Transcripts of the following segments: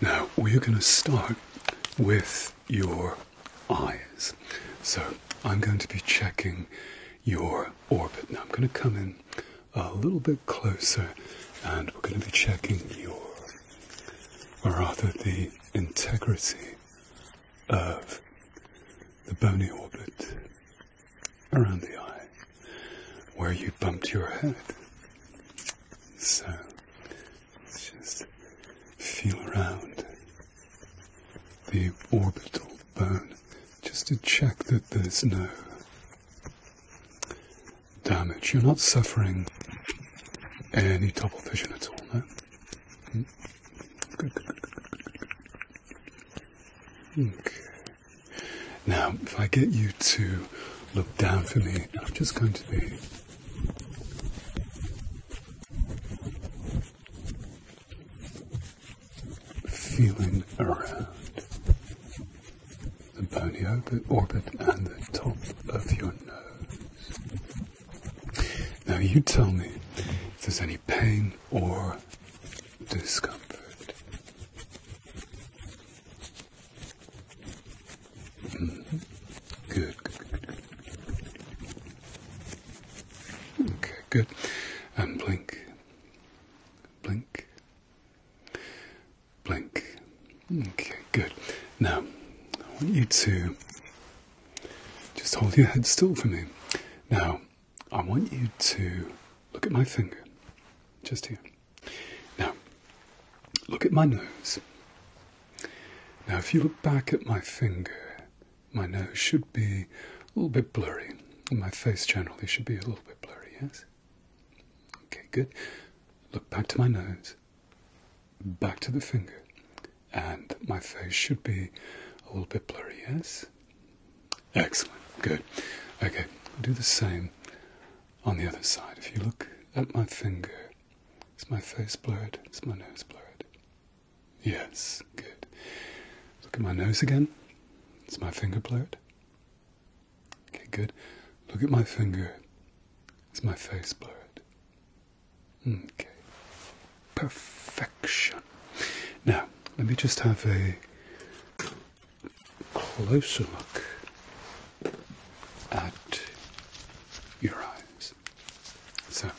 Now we're going to start with your eyes. So I'm going to be checking your orbit. Now I'm going to come in a little bit closer and we're going to be checking your, or rather the integrity of the bony orbit around the eye where you bumped your head. So let's just feel around the orbital bone just to check that there's no damage. You're not suffering any double vision at all, no? Hmm. Okay. Now, if I get you to look down for me. I'm just going to be feeling around the bony orbit, orbit and the top of your nose. Now you tell me if there's any pain or discomfort. Mm Good, good, good, good, good. blink, blink, blink. Okay, good. Now, I want you to just hold your head still for me. Now, I want you to look at my finger, just here. Now, look at my nose. Now, if you look back at my finger, my nose should be a little bit blurry, and my face generally should be a little bit blurry, yes? Okay, good. Look back to my nose, back to the finger, and my face should be a little bit blurry, yes? Excellent, good. Okay, do the same on the other side. If you look at my finger, is my face blurred? Is my nose blurred? Yes, good. Look at my nose again. Is my finger blurred? Okay, good. Look at my finger. Is my face blurred? Okay. Perfection. Now, let me just have a closer look at your eyes. So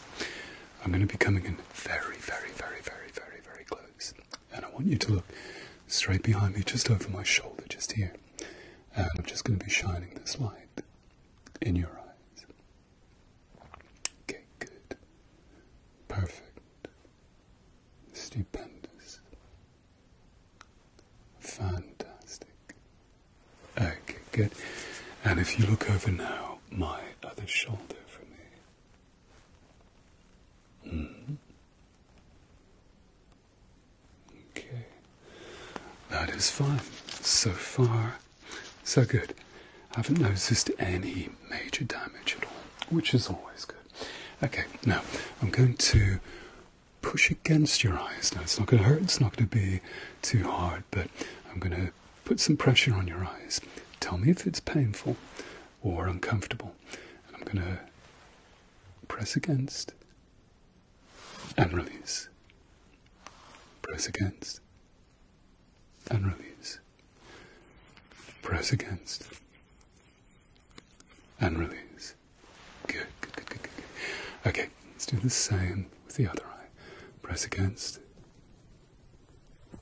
I'm going to be coming in very, very, very, very, very, very close. And I want you to look straight behind me, just over my shoulder, just here. And I'm just going to be shining this light in your eyes. Okay, good. Perfect. Stupendous. Fantastic. Okay, good. And if you look over now, my other shoulder for me. -hmm. Okay. That is fine. So far, so good. I haven't noticed any major damage at all, which is always good. Okay, now I'm going to push against your eyes. Now, it's not going to hurt, it's not going to be too hard, but I'm going to put some pressure on your eyes. Tell me if it's painful or uncomfortable. And I'm going to press against and release. Press against and release. Press against and release. Good, good, good, good, good. Okay, let's do the same with the other eye. Press against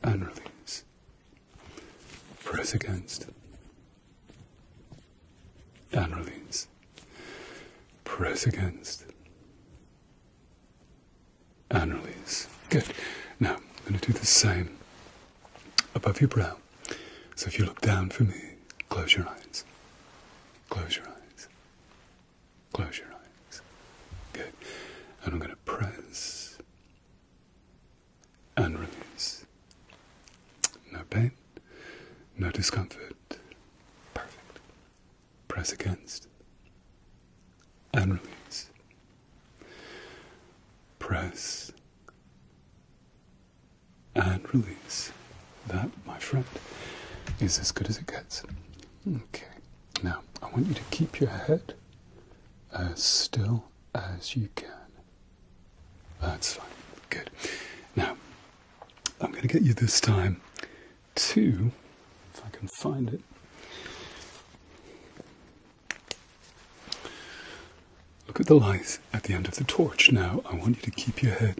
and release. Press against and release. Press against and release. Good. Now, I'm going to do the same above your brow. So if you look down for me, close your eyes. Close your eyes. Close your eyes. Good. And I'm going to press and release. No pain, no discomfort. Perfect. Press against and release. Press and release. That, my friend, is as good as it gets. Okay, now I want you to keep your head as still as you can. That's fine. Good. Now, I'm going to get you this time to, if I can find it, look at the light at the end of the torch. Now, I want you to keep your head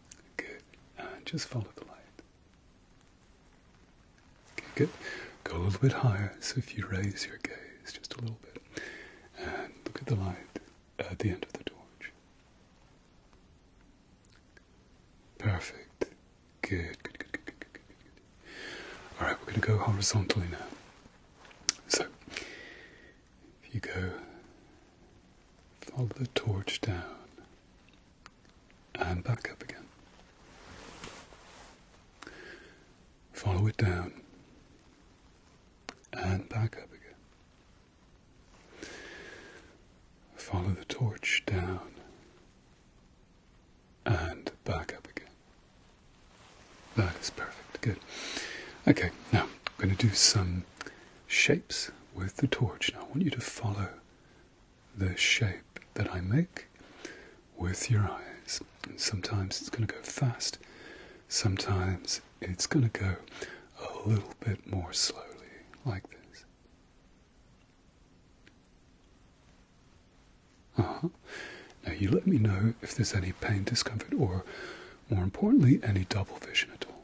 Good. Uh, just follow the light. Okay, good. Go a little bit higher. So if you raise your gaze just a little bit and look at the light at the end of the torch. Perfect. Good, good, good, good, good, good, good, good. All right, we're going to go horizontally now. So if you go, follow the torch down and back up again. Follow it down and back up again. Follow the torch down and back up again. That is perfect. Good. Okay, now I'm going to do some shapes with the torch. Now I want you to follow the shape that I make with your eyes. And sometimes it's going to go fast, sometimes it's going to go a little bit more slowly, like this. Uh Now you let me know if there's any pain, discomfort, or more importantly, any double vision at all.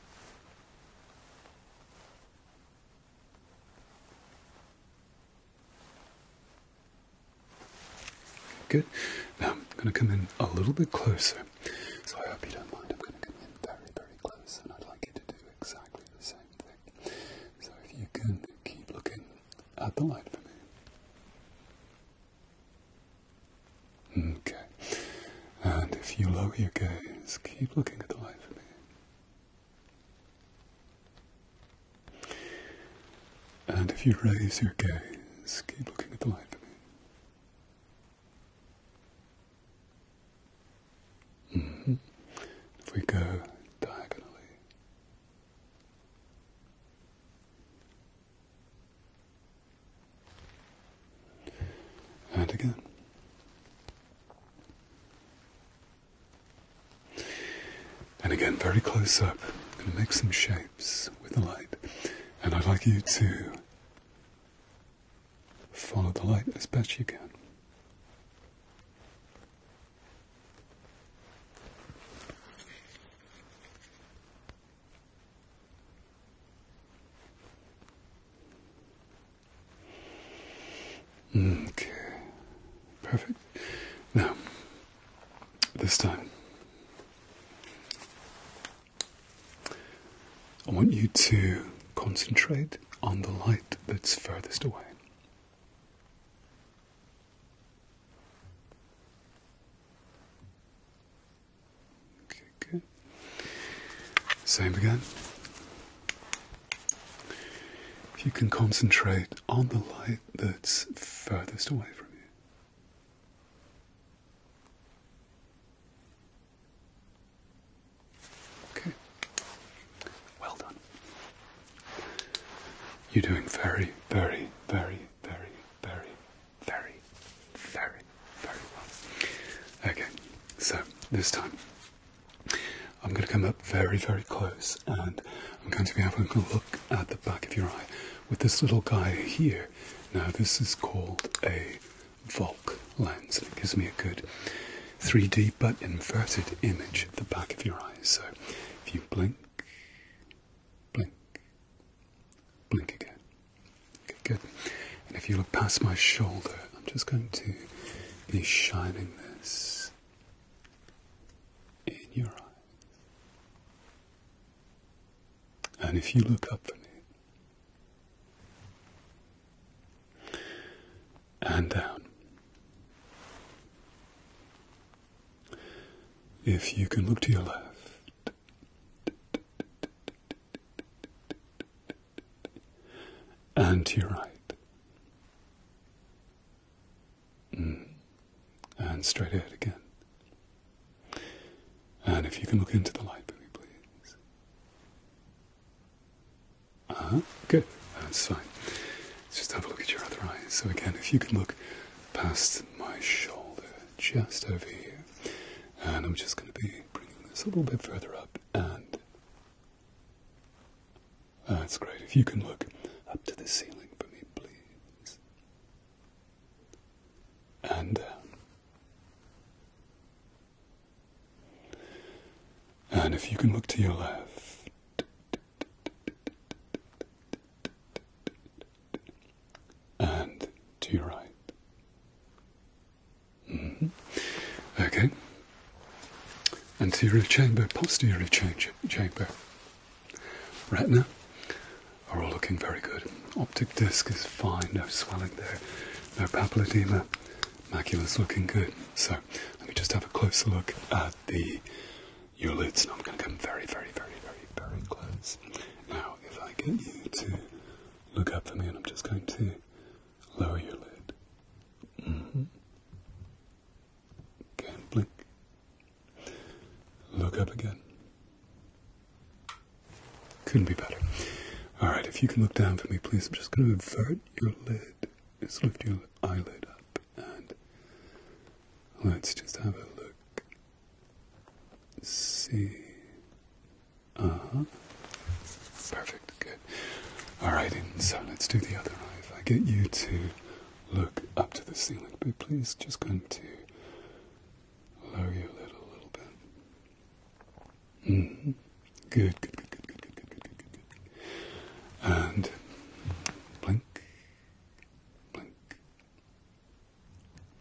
Good. Now um, I'm going to come in a little bit closer. So I hope you don't mind. I'm going to come in very, very close and I'd like you to do exactly the same thing. So if you can keep looking at the light for me. Okay. And if you lower your gaze, keep looking at the light for me. And if you raise your gaze, keep looking at the light for me. Mm-hmm. If we go diagonally. And again. And again, very close up. i make some shapes with the light. And I'd like you to follow the light as best you can. Okay, perfect. Now, this time, I want you to concentrate on the light that's furthest away. Same again. If you can concentrate on the light that's furthest away from you. Okay. Well done. You're doing very, very, very, very, very, very, very, very well. Okay, so this time I'm going to come up very, very close and I'm going to be having a look at the back of your eye with this little guy here. Now, this is called a Volk lens and it gives me a good 3D but inverted image at the back of your eye. So if you blink, blink, blink again. Good, And if you look past my shoulder, I'm just going to be shining this in your eyes. And if you look up for me, and down. If you can look to your left, and to your right, mm. and straight ahead again. And if you can look into the light for me, please. Ah, uh-huh. good. That's fine. just have a look at your other eye. So again, if you can look past my shoulder, just over here, and I'm just going to be bringing this a little bit further up, and that's ah, great. If you can look up to the ceiling for me, please, and uh, And if you can look to your left. And to your right, Mm-hmm. Okay. Anterior chamber, posterior chamber, retina are all looking very good. Optic disc is fine, no swelling there, no papilledema, is looking good. So let me just have a closer look at the eyelids. I'm going to come very, very, very, very, very close. Now, if I get you to look up for me, and I'm just going to Lower your lid. Mm blink. Look up again. Couldn't be better. Alright, if you can look down for me, please. I'm just going to invert your lid. Just lift your eyelid up and let's just have a look. See uh-huh. Perfect, good. Alright, so let's do the other eye. I get you to look up to the ceiling, but please just going to lower your lid a little bit. hmm Good, good, good, good, good, good, good, good, good, good, good. And blink, blink,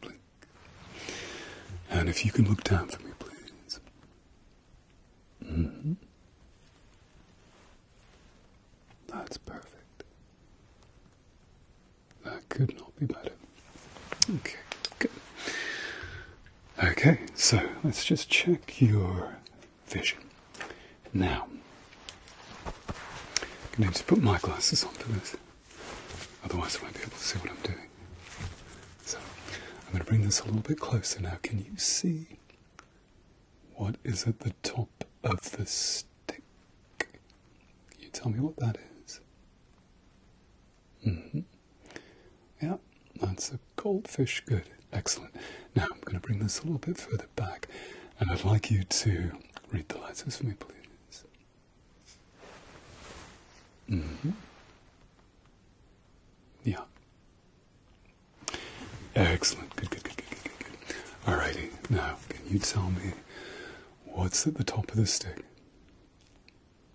blink. And if you can look down for me, please. Mm-hmm. That's perfect. That could not be better. Okay, good. Okay, so let's just check your vision. Now, I'm going to, to put my glasses on for this, otherwise I won't be able to see what I'm doing. So I'm going to bring this a little bit closer now. Can you see what is at the top of the stick? Can you tell me what that is? Mm-hmm. Yeah, that's a goldfish. Good. Excellent. Now I'm going to bring this a little bit further back and I'd like you to read the letters for me, please. Mm-hmm. Yeah. Excellent. Good, good, good, good, good, good, good. Alrighty. Now, can you tell me what's at the top of the stick?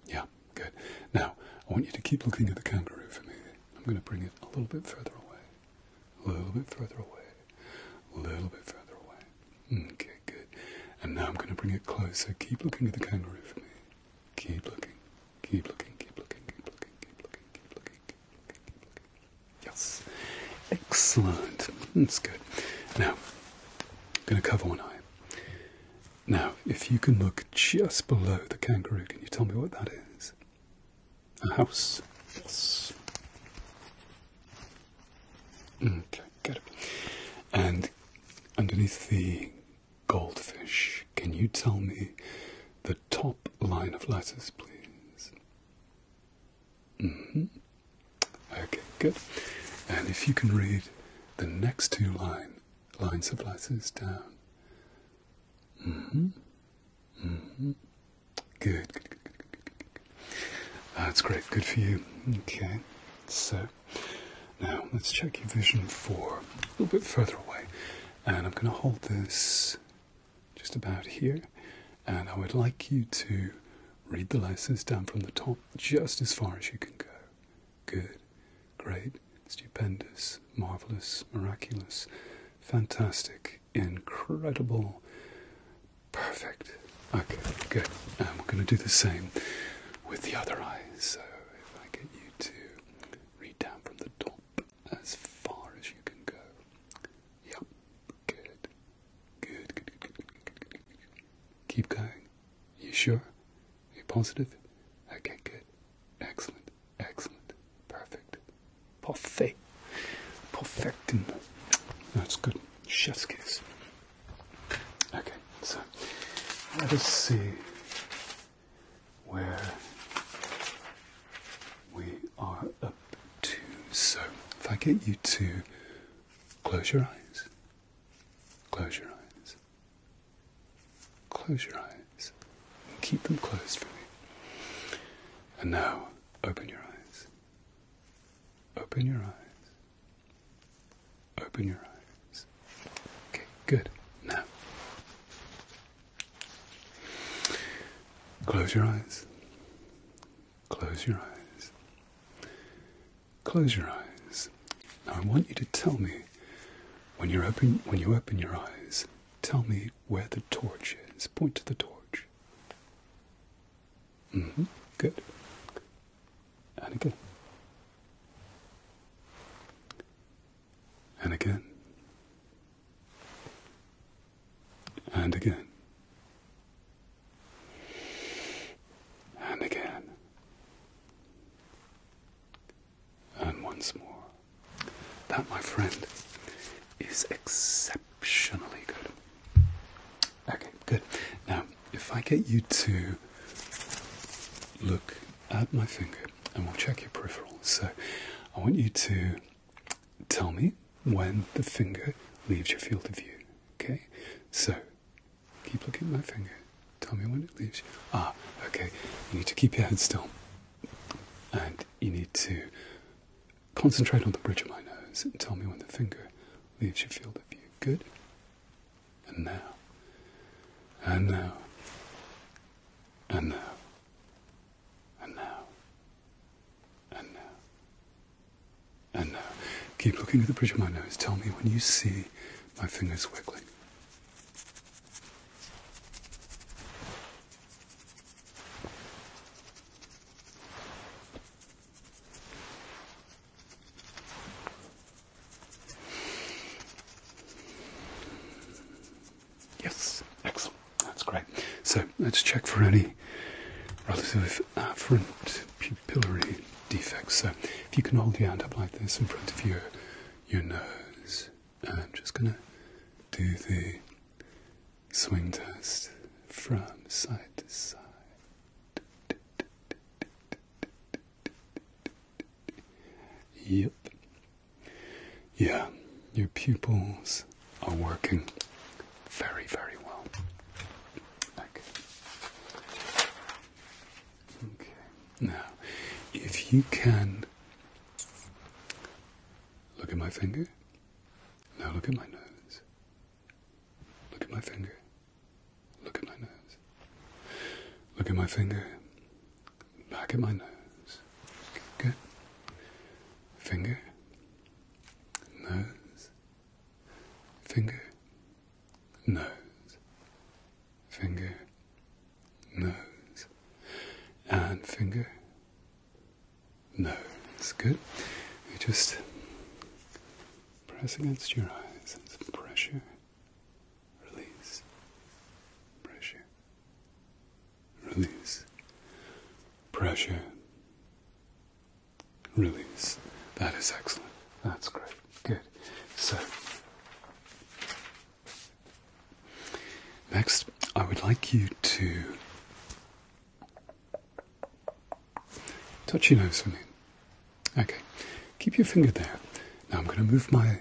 Yeah, good. Now, I want you to keep looking at the kangaroo for me. I'm going to bring it a little bit further away. A little bit further away. A little bit further away. Okay, good. And now I'm going to bring it closer. Keep looking at the kangaroo for me. Keep looking. Keep looking. Keep looking. Keep looking. Keep looking. Keep looking. Keep looking. Yes. Excellent. That's good. Now, I'm going to cover one eye. Now, if you can look just below the kangaroo, can you tell me what that is? A house. Yes. Okay, good. And underneath the goldfish, can you tell me the top line of letters, please? Mm-hmm. Okay, good. And if you can read the next two line lines of letters down. Mm-hmm. Mm-hmm. Good, good. That's great. Good for you. Okay. So now, let's check your vision for a little bit further away. And I'm going to hold this just about here. And I would like you to read the letters down from the top just as far as you can go. Good, great, stupendous, marvelous, miraculous, fantastic, incredible, perfect. Okay, good. And we're going to do the same with the other eye. So if I get you to read down from the top as far as you can go. Yep, good. Good, good, good, good, good, good, good, Keep going. You sure? You positive? Okay, good. Excellent, excellent, perfect. perfect, Perfectum. That's good. Chef's kiss. Okay, so let us see where we are up to. So, if I get you to close your eyes, close your eyes, close your eyes, and keep them closed for me. And now, open your eyes, open your eyes, open your eyes. Okay, good. Now, close your eyes. Close your eyes. Close your eyes. Now, I want you to tell me when you open when you open your eyes. Tell me where the torch is. Point to the torch. Mm-hmm. Good. And again and again, and again, and again, and once more. That, my friend, is exceptionally good. Okay, good. Now, if I get you to look at my finger and we'll check your peripheral. So I want you to tell me when the finger leaves your field of view. Okay? So keep looking at my finger. Tell me when it leaves you. Ah, okay. You need to keep your head still. And you need to concentrate on the bridge of my nose and tell me when the finger leaves your field of view. Good? And now. And now and now, and now, and now, and now. Keep looking at the bridge of my nose. Tell me when you see my fingers wiggling. Yes, excellent. That's great. So let's check for any relative afferent pupillary defects. So if you can hold your hand up like this in front of your your nose, I'm just gonna do the swing test from side to side. Yep. Yeah, your pupils are working very, very well. Okay. Okay. Now, if you can look at my finger. Now look at my nose. Look at my finger. Look at my nose. Look at my finger back at my nose. Good. Finger. Nose. Finger. Nose. Finger. Nose. And finger. Nose. Good. You just press against your eyes and some pressure. Release. Pressure. Release. Pressure. Release. That is excellent. That's great. Good. So, next, I would like you to touch your nose for me. Okay. Keep your finger there. Now I'm going to move my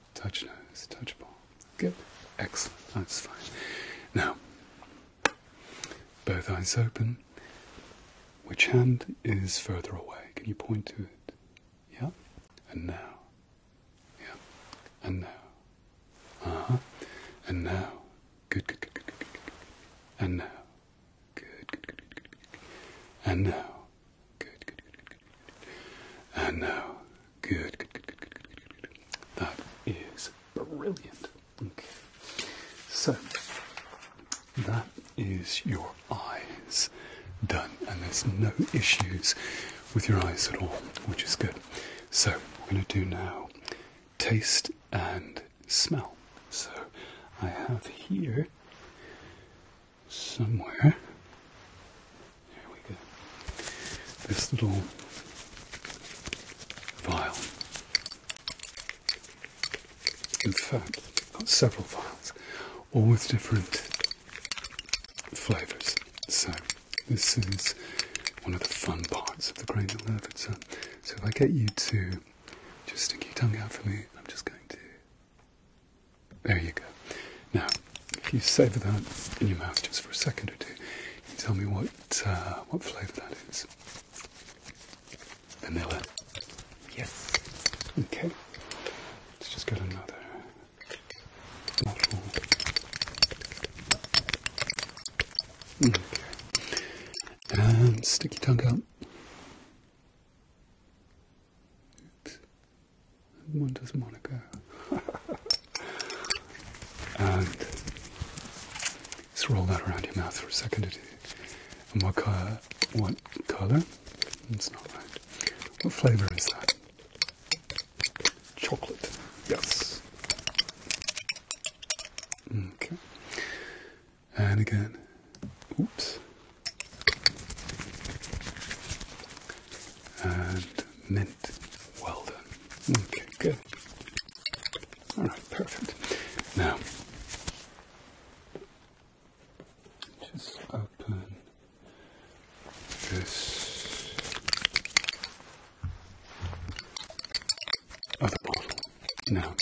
Touch nose, touch ball. Good. Excellent. That's fine. Now, both eyes open. Which hand is further away? Can you point to it? Yeah? And now. Yeah. And now. Uh huh. And now. Good, good, good, good, good, good. And now. Good, good, good, good, good, good. And now. Good, good, good, good, That is brilliant. So, that is your eyes done, and there's no issues with your eyes at all, which is good. So, we're going to do now taste and smell. So, I have here somewhere. There we go. This little vial. In fact, got several vials, all with different flavours. So this is one of the fun parts of the Grain of Levitzer. So if I get you to just stick your tongue out for me, I'm just going to there you go. Now, if you savour that in your mouth just for a second or two, tell me what uh, what flavour that is. Vanilla. Yes. Okay. Let's just get another bottle. Okay. And stick tongue out. One does Monaco. and just roll that around your mouth for a second. And what color? What color? It's not right. What flavor is that? Chocolate. Yes. Okay. And again. Oops and mint. Well done. Okay, good. All right, perfect. Now, just open this other bottle. Now,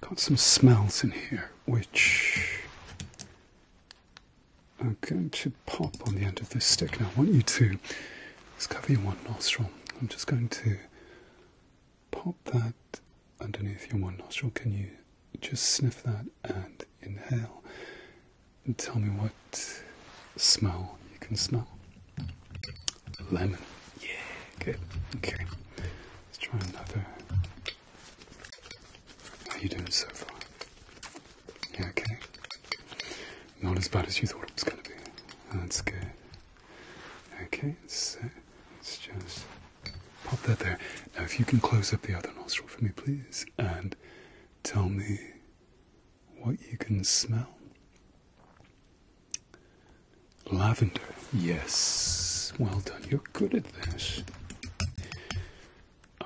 got some smells in here which I'm going to pop on the end of this stick now. I want you to just cover your one nostril. I'm just going to pop that underneath your one nostril. Can you just sniff that and inhale and tell me what smell you can smell? Lemon. Yeah, good. Okay. Let's try another. How are you doing so far? Yeah, okay. Not as bad as you thought it was going to be. That's good. Okay, let's just pop that there. Now, if you can close up the other nostril for me, please, and tell me what you can smell. Lavender. Yes. Well done. You're good at this.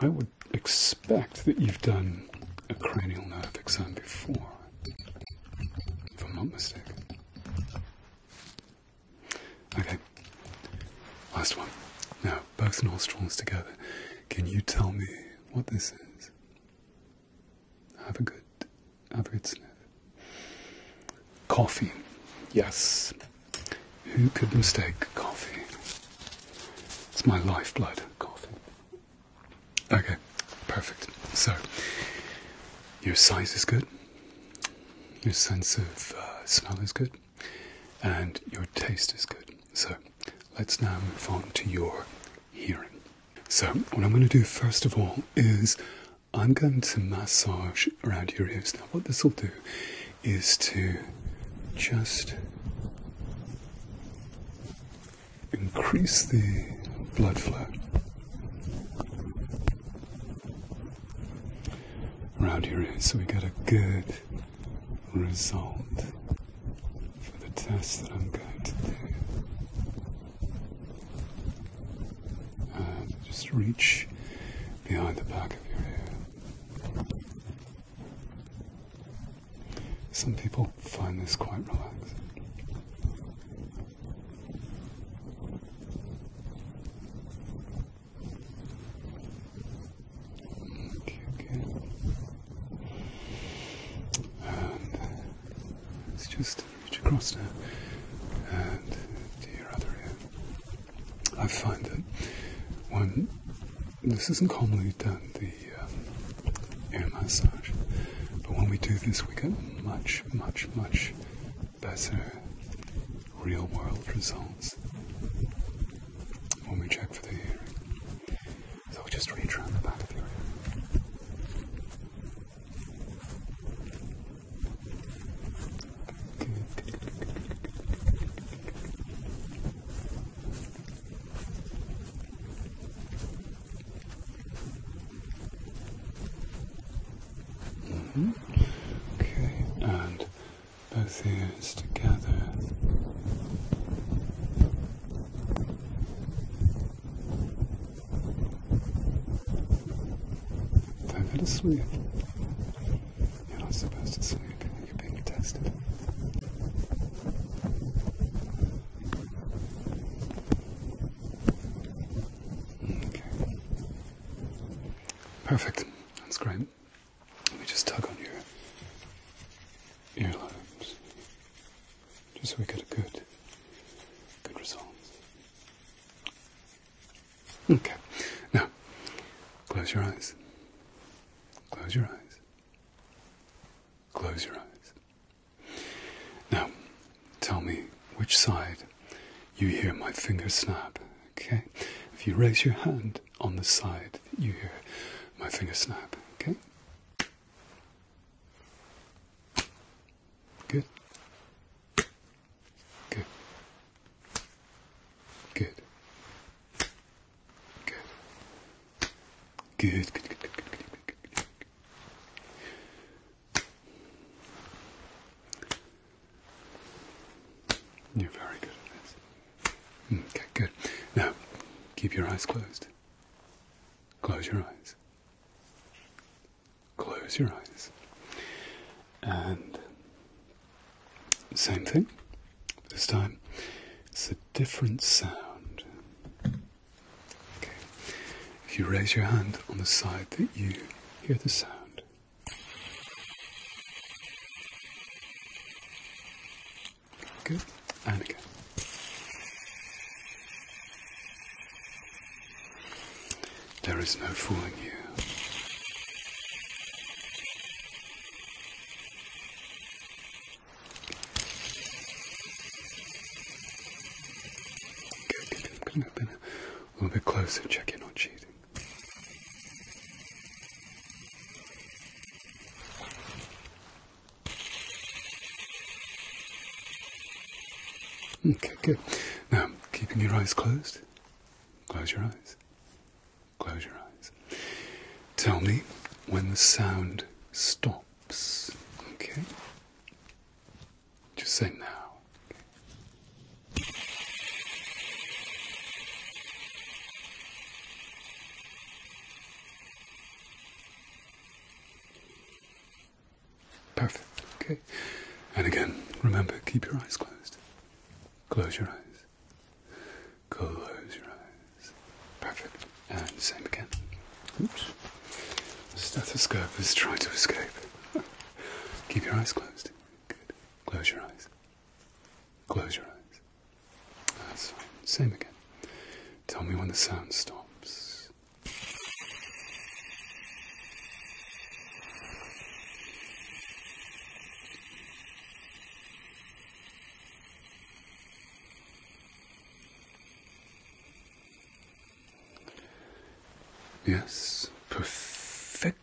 I would expect that you've done a cranial nerve exam before, if I'm not mistaken. Okay, last one. Now, both nostrils together. Can you tell me what this is? Have a good, have a good sniff. Coffee. Yes. Who could mistake coffee? It's my lifeblood, coffee. Okay, perfect. So, your size is good, your sense of uh, smell is good, and your taste is good. So, let's now move on to your hearing. So, what I'm going to do first of all is I'm going to massage around your ears. Now, what this will do is to just increase the blood flow around your ears so we get a good result for the test that I'm going to do. Um, just reach behind the back of your ear. Some people find this quite relaxing. Okay, And let just reach across now and do your other ear. I find that one this isn't commonly done, the uh, air massage, but when we do this, we get much, much, much better real world results when we check for the hearing. So just reach around the back of your ear. Mm-hmm. Okay, and both ears together. Time for to sleep. You're not supposed to sleep. Perfect. That's great. Let me just tug on your earlobes, just so we get a good, good result. Okay. Now, close your eyes. Close your eyes. Close your eyes. Now, tell me which side you hear my finger snap, okay? If you raise your hand on the side that you hear my finger snap, okay? Good. Good. Good. Good. Good, good, good, good, good, good, You're very good at this. Hmm, okay, good. Now, keep your eyes closed. Close your eyes. Close your eyes. And same thing. This time, sit different sound. If you raise your hand on the side that you hear the sound. Good. And again. There is no fooling you. Good, good, good. A little bit closer, check you're not cheating. Okay, good. Now, keeping your eyes closed, close your eyes. Close your eyes. Tell me when the sound stops. Okay? Just say now. Perfect. Okay. And again, remember, keep your eyes closed. Close your eyes. Close your eyes. Perfect. And same again. Oops. The stethoscope is trying to escape. Keep your eyes closed. Good. Close your eyes. Close your eyes. That's fine. Same again. Tell me when the sound stops. Yes, perfect.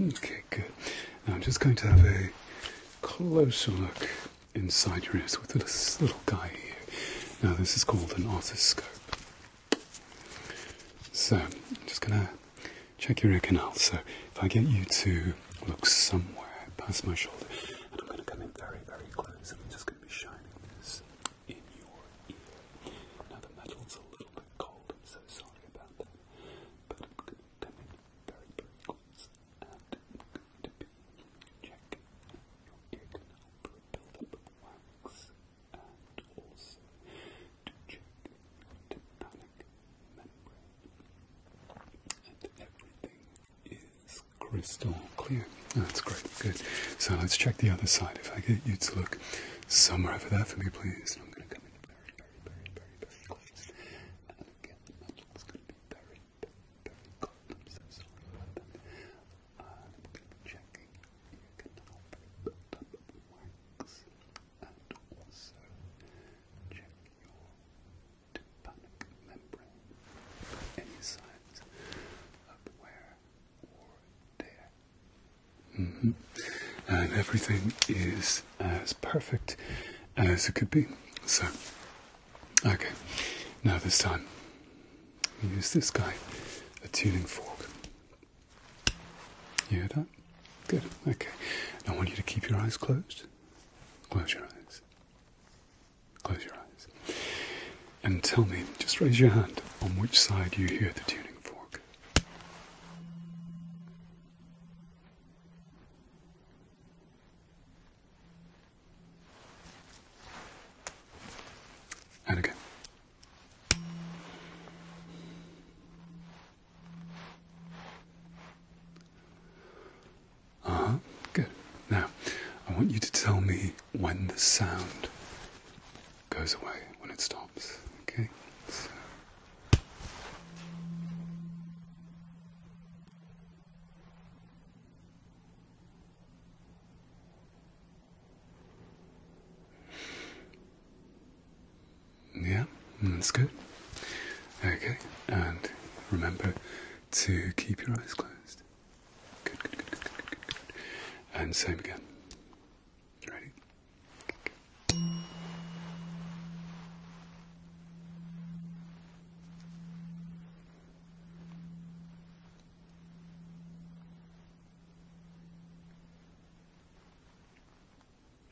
Okay, good. Now I'm just going to have a closer look inside your ears with this little guy here. Now this is called an otoscope. So I'm just gonna check your ear canal. So if I get you to look somewhere past my shoulder, and I'm going to come in very, very close, and I'm just going to be shining this in your ear. Now, the metal's a little bit cold, I'm so sorry about that, but I'm going to come in very, very close, and I'm going to be checking your ear canal for a buildup wax, and also to check your tympanic membrane and everything is crystal clear. Oh, that's great, good. So let's check the other side. If I get you to look somewhere over there for me, please. I'm going to come in very, very, very, very, close. And again, the magic's going to be very, very, very I'm so sorry I'm going to be checking your canal build and also check your Mm-hmm. And everything is as perfect as it could be. So, okay, now this time we use this guy, a tuning fork. You hear that? Good, okay. Now I want you to keep your eyes closed. Close your eyes. Close your eyes. And tell me, just raise your hand, on which side you hear the tuning fork. And uh huh. Good. Now, I want you to tell me when the sound goes away, when it stops. Okay? Yeah, that's good. Okay, and remember to keep your eyes closed. And same again. Ready?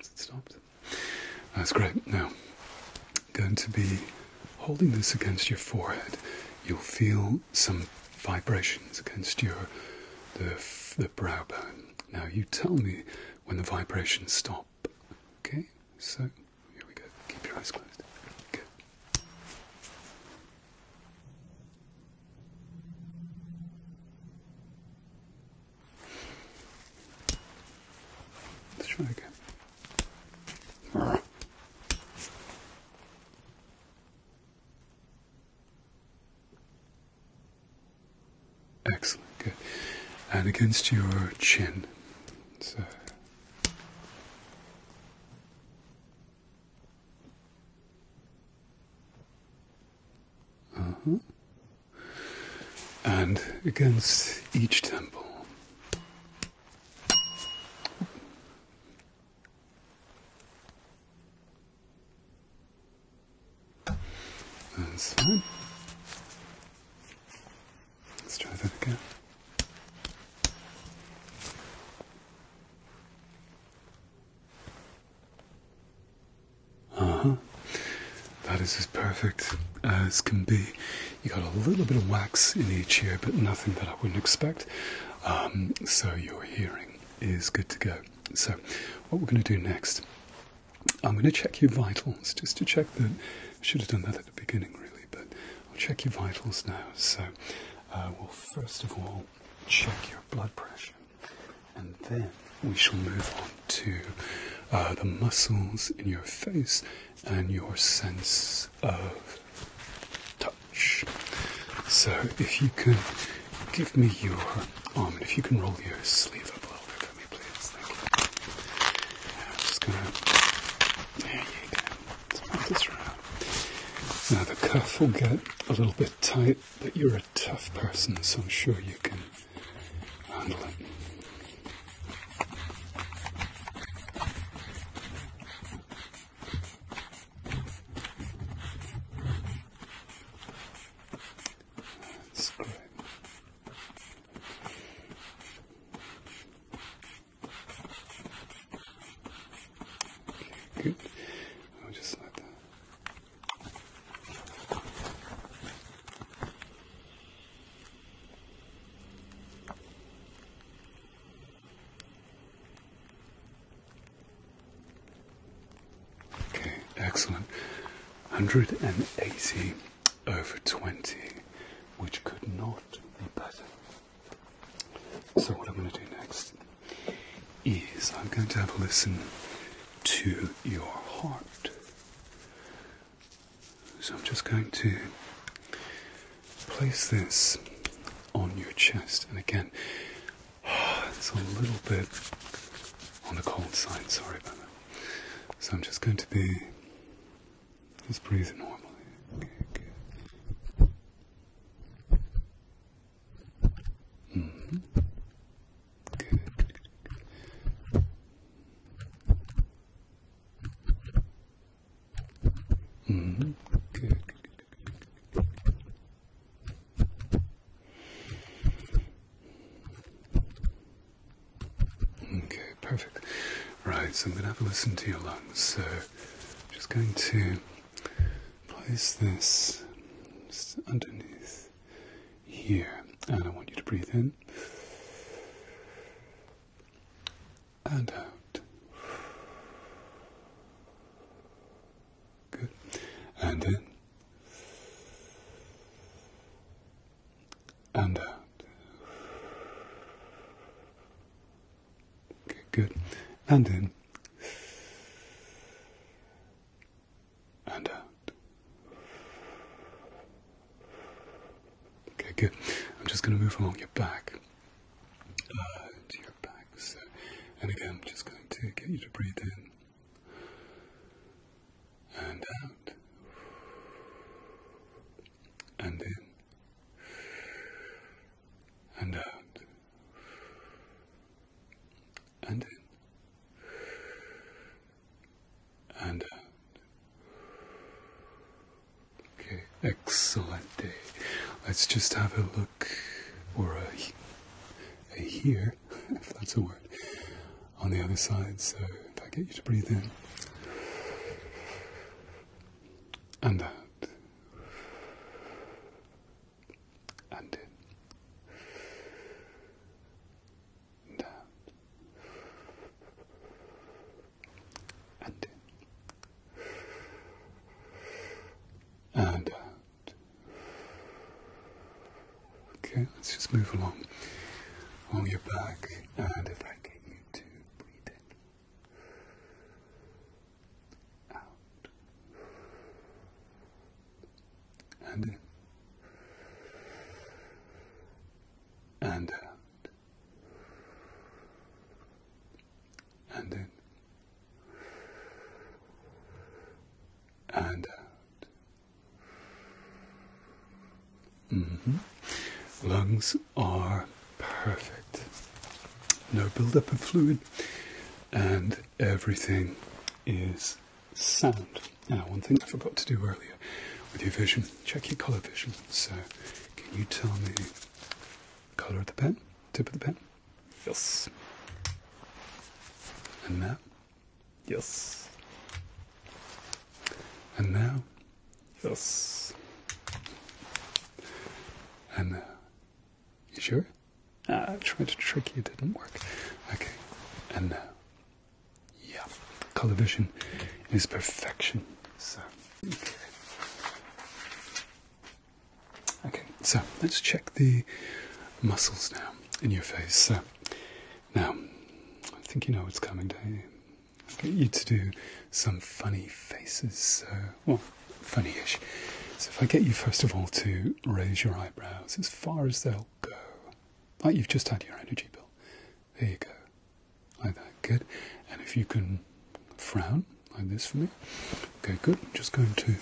Is it stopped? That's great. Now, going to be holding this against your forehead. You'll feel some vibrations against your the the brow bone. Now you tell me when the vibrations stop. Okay, so here we go. Keep your eyes closed. Good. Let's try again. Excellent, good. And against your chin. So. Uh -huh. And against each temple. That's fine. Let's try that again. Uh huh. That is as perfect uh, as can be. You got a little bit of wax in each ear, but nothing that I wouldn't expect. Um, so your hearing is good to go. So, what we're going to do next, I'm going to check your vitals just to check that. I should have done that at the beginning, really, but I'll check your vitals now. So, uh, we'll first of all check your blood pressure, and then we shall move on to uh, the muscles in your face and your sense of touch. So, if you can give me your arm, and if you can roll your sleeve up a little bit for me, please. Thank you. I'm just gonna. There you go. Smell this around. Now, the cuff will get a little bit tight, but you're a tough person, so I'm sure you can handle it. That's good. Okay, good. I'll just like that. Okay, excellent. 180 over 20, which could not be better. So, what I'm going to do next is I'm going to have a listen to your heart. So I'm just going to place this on your chest, and again, it's a little bit on the cold side, sorry about that. So I'm just going to be just breathing normally. good. Good. Okay, perfect. Right, so I'm going to have a listen to your lungs. So, I'm just going to place this underneath here, and I want you to breathe in and out. Good. And in. And out. good. And in. And out. Okay, good. I'm just going to move along your back. Uh, to your back. So, and again, I'm just going to get you to breathe in and out and in and out and in and out Okay, excellent day. Let's just have a look, or a, a hear, if that's the word, on the other side. So if I get you to breathe in and out. And in. And and in and out. Okay, let's just move along on your back, and if I get you to breathe in, out, and in, and out and then, and Mm -hmm. Lungs are perfect. No buildup of fluid, and everything is sound. Now, one thing I forgot to do earlier with your vision check your color vision. So, can you tell me color of the pen, tip of the pen. Yes. And now. Yes. And now. Yes. And now. Uh, you sure? Ah, I tried to trick you, it didn't work. Okay. And now. Uh, yeah. Color vision is perfection. So, Okay, so let's check the muscles now in your face. So, now, I think you know what's coming, To you? I get you to do some funny faces, well, funny ish. So, if I get you first of all to raise your eyebrows as far as they'll go, like you've just had your energy bill. There you go. Like that, good. And if you can frown like this for me. Okay, good. I'm just going to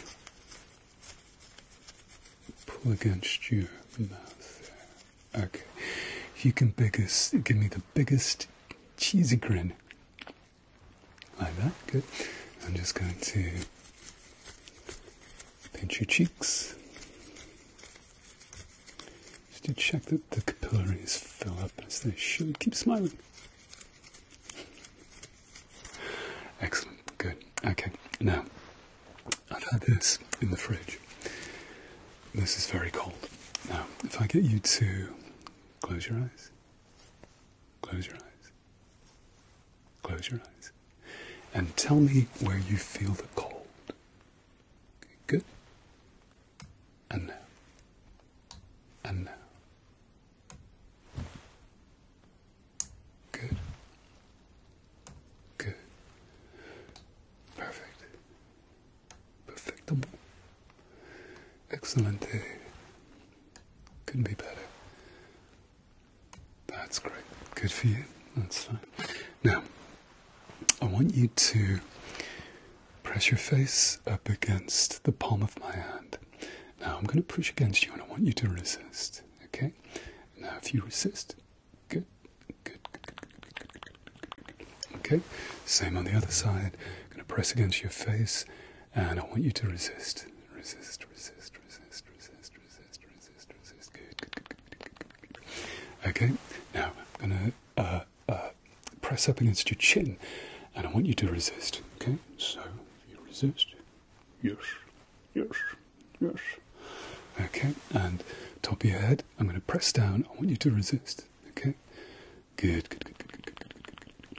pull against your mouth Okay. If you can biggest give me the biggest cheesy grin. Like that, good. I'm just going to pinch your cheeks. Just to check that the capillaries fill up as they should. Keep smiling. Excellent, good. Okay, now I've had this in the fridge. This is very cold. Now, if I get you to close your eyes, close your eyes, close your eyes, and tell me where you feel the cold. Good and and now. Good. Good. Perfect. Perfectable. Excellent. Couldn't be better. That's great. Good for you. That's fine. Now, I want you to Press your face up against the palm of my hand. Now I'm going to push against you and I want you to resist. Okay? Now if you resist, good, good, good, Okay? Same on the other side. I'm going to press against your face and I want you to resist. Resist, resist, resist, resist, resist, resist, resist. Good, Okay? Now I'm going to uh, press up against your chin, and I want you to resist. Okay, so you resist. Yes, yes, yes. Okay, and top of your head, I'm going to press down. I want you to resist. Okay, good, good, good, good, good, good, good, good, good.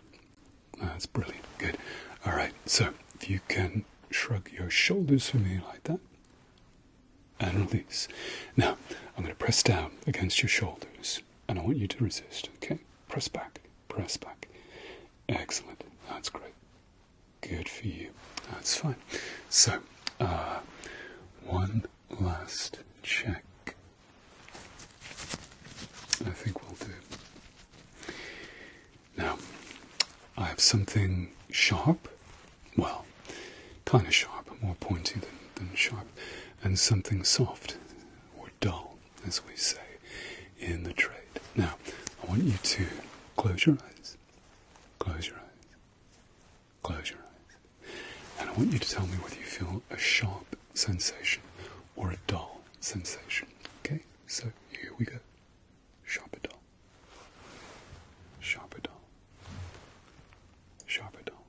That's brilliant. Good. All right. So if you can shrug your shoulders for me like that. And release. Now, I'm going to press down against your shoulders and I want you to resist. Okay, press back, press back. Excellent. That's great. Good for you. That's fine. So, uh, one last check. I think we'll do. Now, I have something sharp, well, kind of sharp, more pointy than, sharp, and something soft dull, as we say in the trade. Now, I want you to close your eyes, close your eyes, close your eyes, and I want you to tell me whether you feel a sharp sensation or a dull sensation. Okay, so here we go. Sharp or dull, sharp or dull, sharp or dull.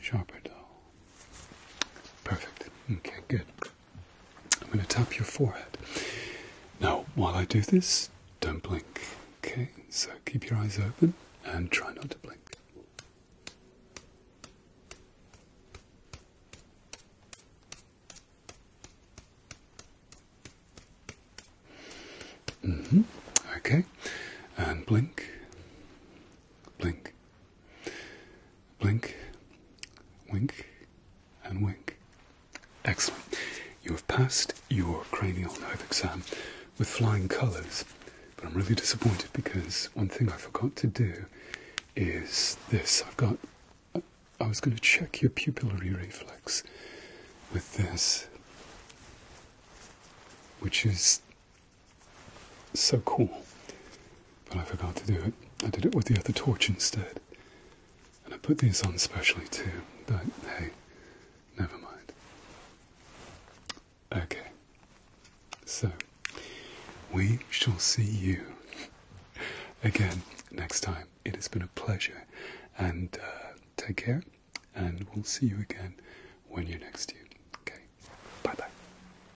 Sharper dull. Perfect. Okay, good. I'm going to tap your forehead. Now, while I do this, don't blink. Okay, so keep your eyes open and try not to blink. Mm-hmm. Okay. And blink. Blink. Blink, wink, and wink. Excellent. You have passed your cranial nerve exam with flying colours, but I'm really disappointed because one thing I forgot to do is this. I've got. I, was going to check your pupillary reflex with this, which is so cool. But I forgot to do it. I did it with the other torch instead. And I put these on specially too, but hey, never mind. Okay. So, we shall see you again next time. It has been a pleasure, and uh, take care, and we'll see you again when you're next due. Okay, bye bye.